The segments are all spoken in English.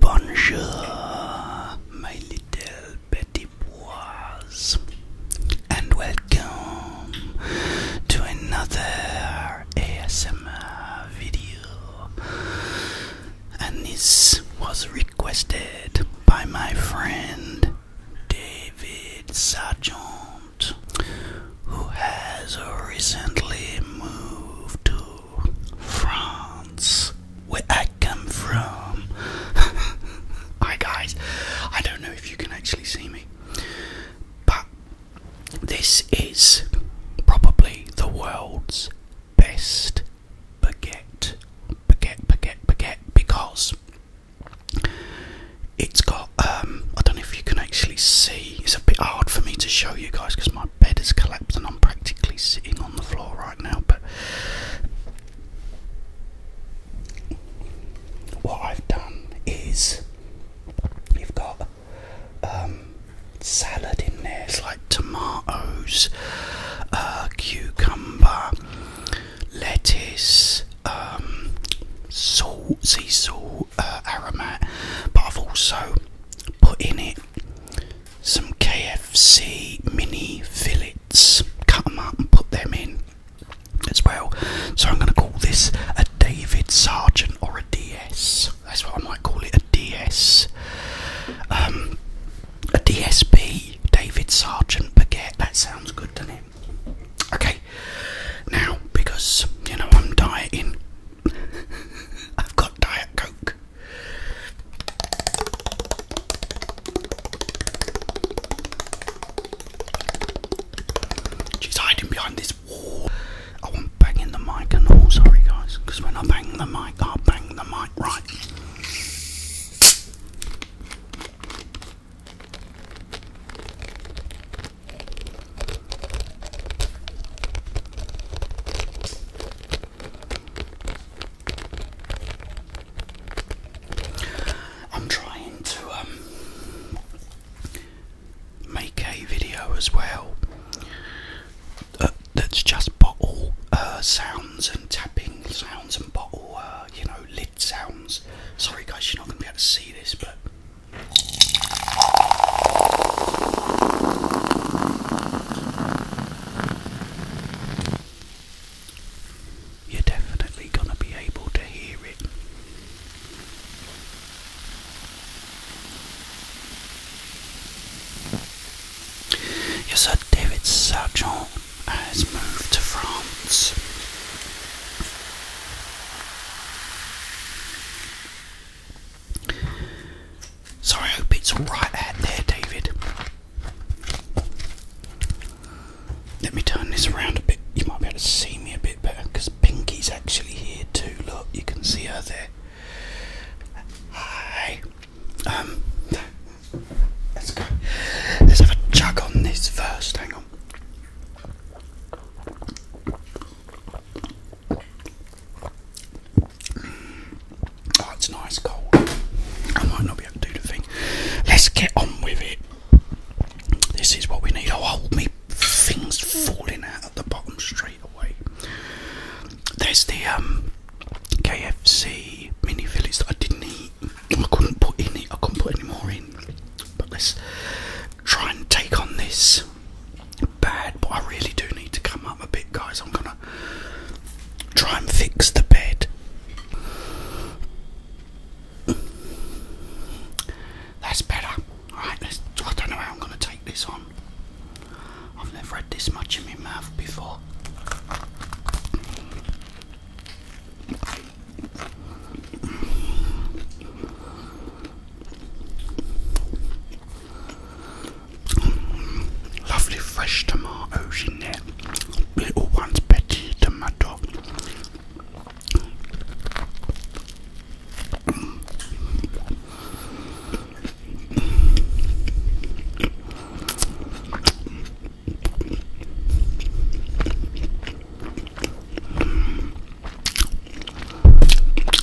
Bonjour, my little petit bois and welcome to another ASMR video. And this was requested by my friend David Sargent, who has recently moved to France, where I come from. Hi guys, I don't know if you can actually see me. But this is probably the world's best baguette, baguette, baguette, baguette, because it's got, um, I don't know if you can actually see, it's a bit hard for me to show you guys because my bed has collapsed and I'm practically sitting on the floor right now, but what I've done is you've got um, salad in there. It's like tomatoes, uh, cucumber, lettuce, um, salt, sea salt, uh, aromat. But I've also put in it some KFC mini fillet cut them up and put them in as well. So I'm going to call this a David Sargent or a DS. That's what I might call it, a DS. Um, a DSB, David Sargent baguette. That sounds good, to not Okay, now because you know I'm dieting, I've got Diet Coke. She's hiding behind this wall. I want banging the mic and all. Sorry, guys, because when I bang the mic, I bang the mic right. I'm trying to um, make a video as well uh, that's just bottle uh, sounds and tapping sounds and bottle, uh, you know, lid sounds. Sorry, guys, you're not going to be able to see this, but you're definitely gonna be able to hear it. Your son David Sargent has moved to France. So I hope it's alright out there, David. Let me turn this around a bit. You might be able to see me a bit better because Pinky's actually here too. Look, you can see her there. Hi. Um, let's go. Let's have a chug on this first. Hang on. Oh, it's nice cold. I might not be do the thing. Let's get on with it. This is what we need. Oh, hold me. Things falling out at the bottom straight away. There's the um, KFC mini fillies that I didn't eat. I couldn't put in I couldn't put any more in. But let's try and take on this bad. But I really do need to come up a bit, guys. I'm gonna try and fix the bed. That's better. Alright, I don't know how I'm going to take this on. I've never had this much in my mouth before. Lovely fresh tomatoes in there little ones, Betty the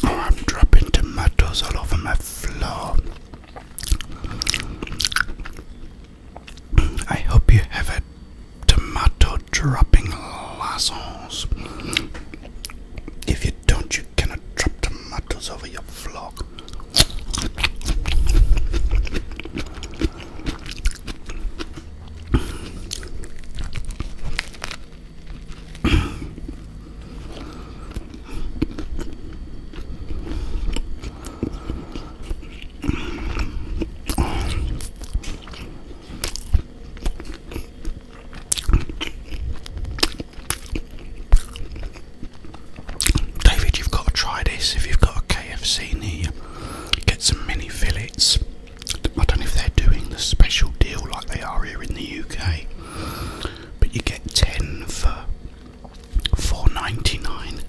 Oh, I'm dropping tomatoes all over my floor. I hope you have a tomato dropping lassos. If you don't, you cannot drop tomatoes over your vlog. David, you've got to try this. If you've got a KFC near get some mini fillets. I don't know if they're doing the special deal like they are here in the UK, but you get 10 for Four ninety nine.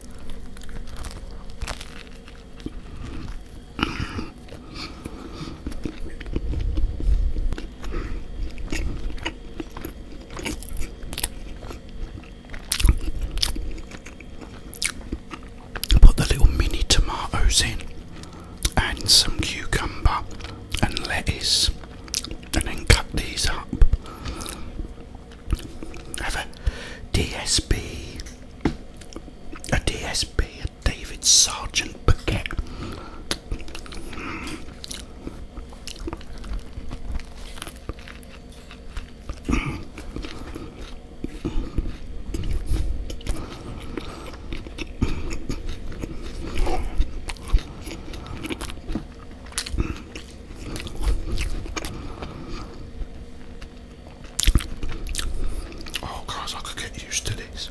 Put the little mini tomatoes in and some cucumber and lettuce and then cut these up have a DSB, a DSB, a David Sargent Paquette. Oh, God, I could get used to this.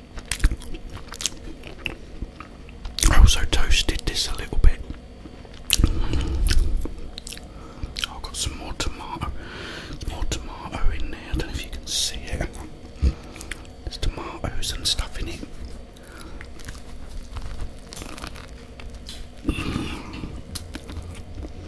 I also toasted this a little bit. Oh, I've got some more tomato, more tomato in there. I don't know if you can see it. There's tomatoes and stuff in it.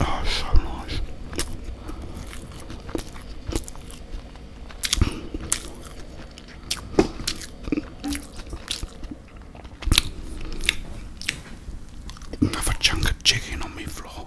Oh, so nice. Another chunk of chicken on me floor.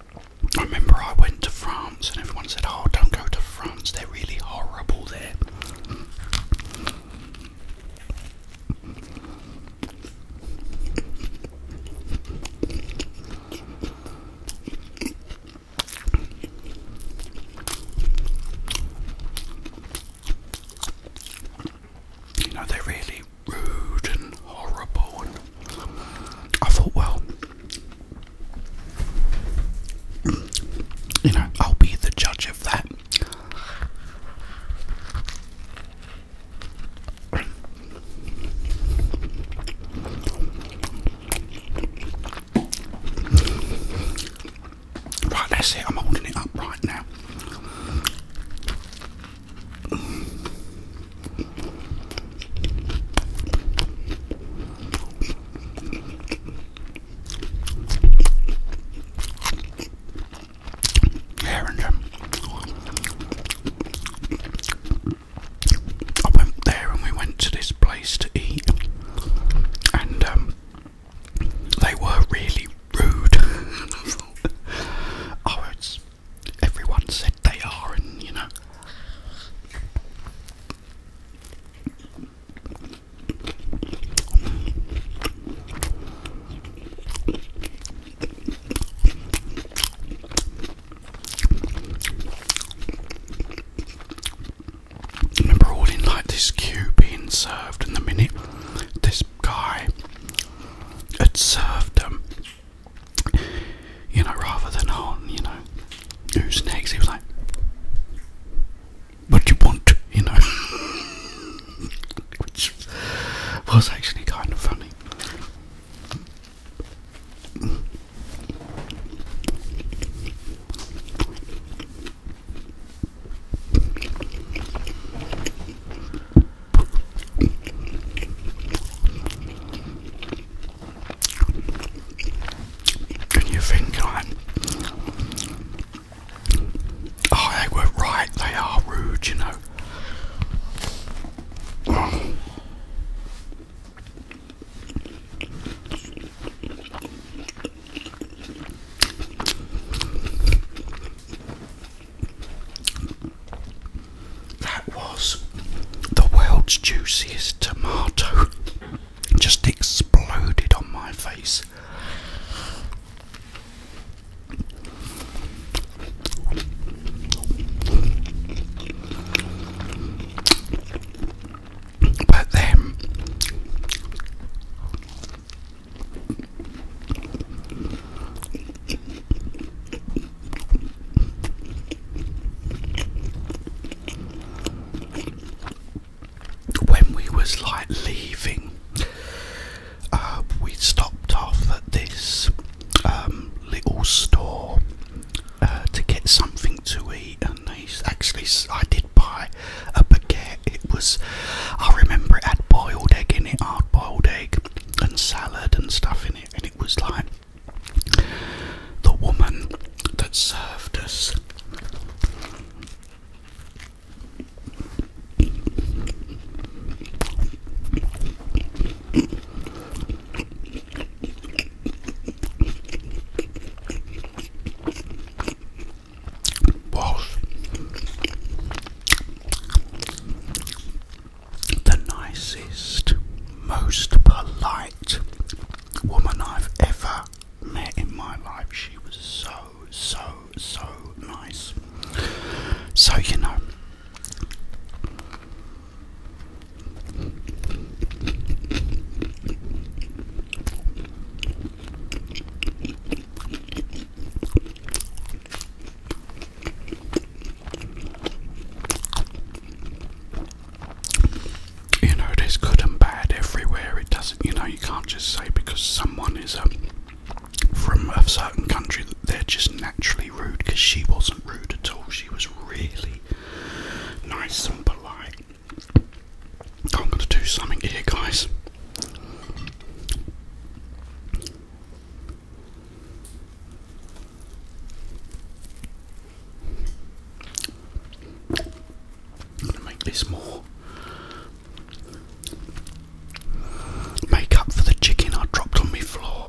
I remember I went to France and everyone said, Oh, don't go to France, they're really horrible there. You know, they really rude and horrible. I thought, well, you know, I'll be the judge of that. Right, that's it. I'm holding it up right now. Herrington. I went there and we went to this place to eat, and um, they were really rude. oh, it's everyone said they are, and you know. Remember all in like this queue being served, and the minute this this guy had served him. you know, rather than on, you know, who's next, he was like, what you want, you know, which was actually kind of funny. Can you think I? Oh they were right, they are rude, you know. That was the world's juiciest tomato. Just exploded on my face. But then when we was like leaving, uh, we stopped off at this um, little store uh, to get something to eat, and actually I did buy a baguette it was, I remember it had boiled egg in it, hard boiled egg, and salad and stuff in it, and it was like the woman that served us was the nicest, most polite woman I've ever met in my life. She was so, so, so nice. So, you know. You know, there's good and bad everywhere. It doesn't, you know, you can't just say because someone is a, um, from a certain country that they're just naturally rude because she wasn't rude at all. She was really nice and polite. I'm going to do something here, guys. I'm gonna make this more. Make up for the chicken I dropped on my floor.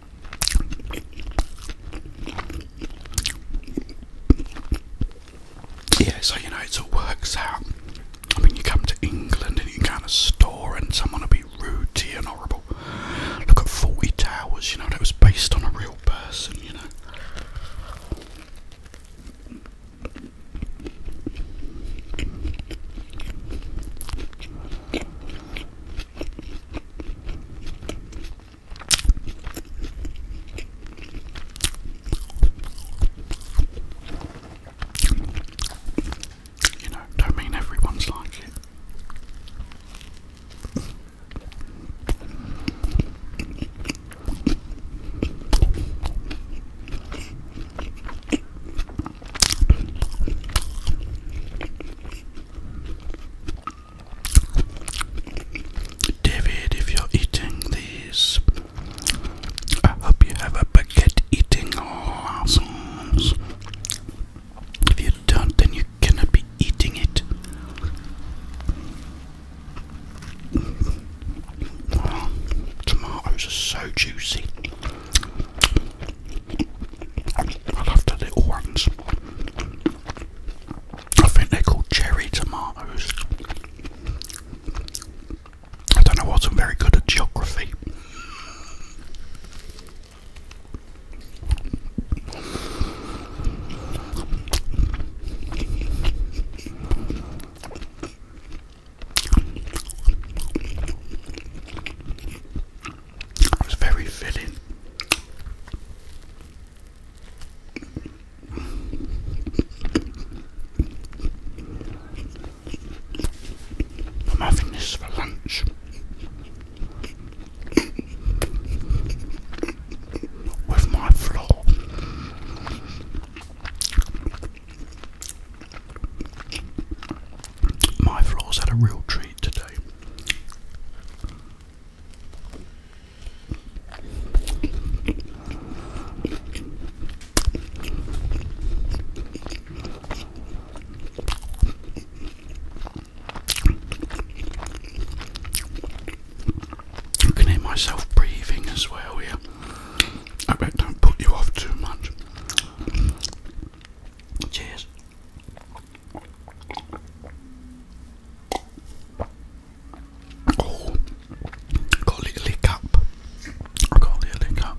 Yeah, so you know, it all works out. I mean, you come to England and you go in a store and someone will be rude to you and horrible. Look at 40 Towers, you know, that was based on a real person, you know. You know, don't mean everyone's like it. David, if you're eating these, I hope you have a baguette eating lessons. If you don't, then you cannot be eating it. Oh, tomatoes are so juicy. I love the little ones. I think they're called cherry tomatoes. I don't know, I wasn't very good at geography. It very fitting. I'm having this for lunch. With my floor, my floor's had a real treat today. I can hear myself breathing as well Yeah. I bet don't put you off too much. Cheers. Oh, I got a little lick up. I got a little lick up.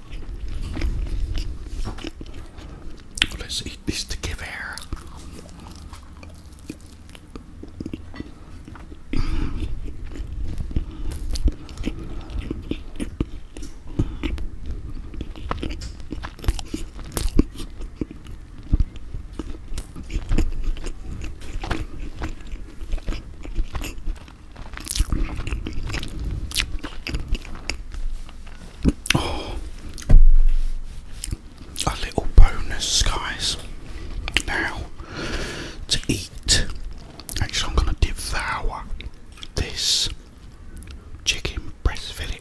Let's eat this to give air. Oh, a little bonus, guys. Now to eat. Actually, I'm gonna devour this chicken breast fillet.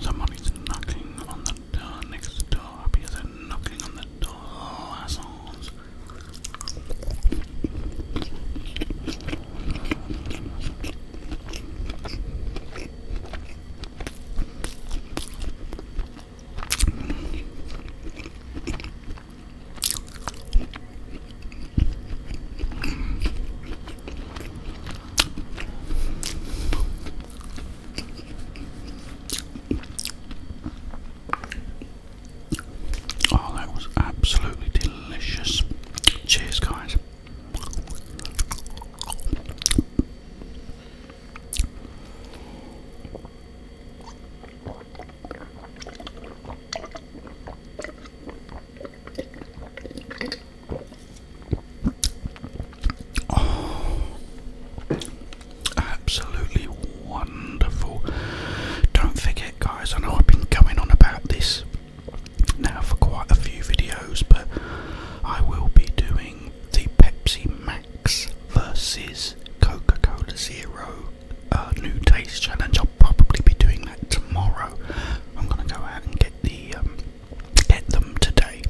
Somebody's knocking on the door next door. Because knocking on the door, assholes. Oh, that was absolutely delicious. Cheers, guys. Oh, absolutely wonderful. Don't forget, guys, I know I've been going on about this now for quite a few videos, but I will be doing the Pepsi Max versus Coca Cola Zero uh, New Taste Challenge. I'll probably be doing that tomorrow. I'm gonna go out and get the um, get them today,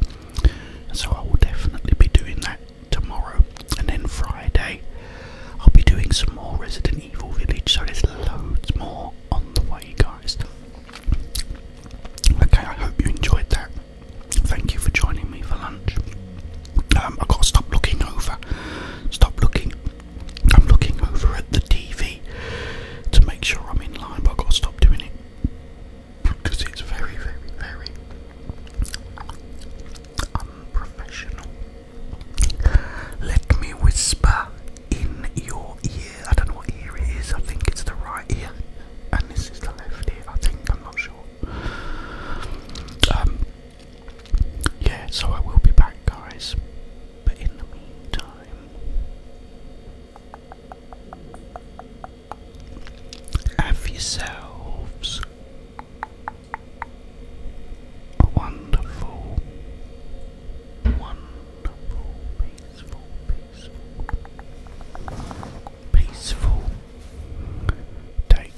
so I will definitely be doing that tomorrow. And then Friday, I'll be doing some more Resident Evil Village. So there's loads more on the way, guys. Okay, I hope you enjoyed that. Thank you for joining me for lunch. Um, i got to stop looking over. Stop looking. I'm looking over at the TV to make sure I'm in line, but I've got to stop doing it because it's very, very, very unprofessional. Let me whisper in your ear. I don't know what ear it is, I think it's the right ear, and this is the left ear, I think, I'm not sure. Um, yeah, so I will be back, guys. But in the meantime, have yourselves a wonderful, wonderful, peaceful, peaceful, peaceful day.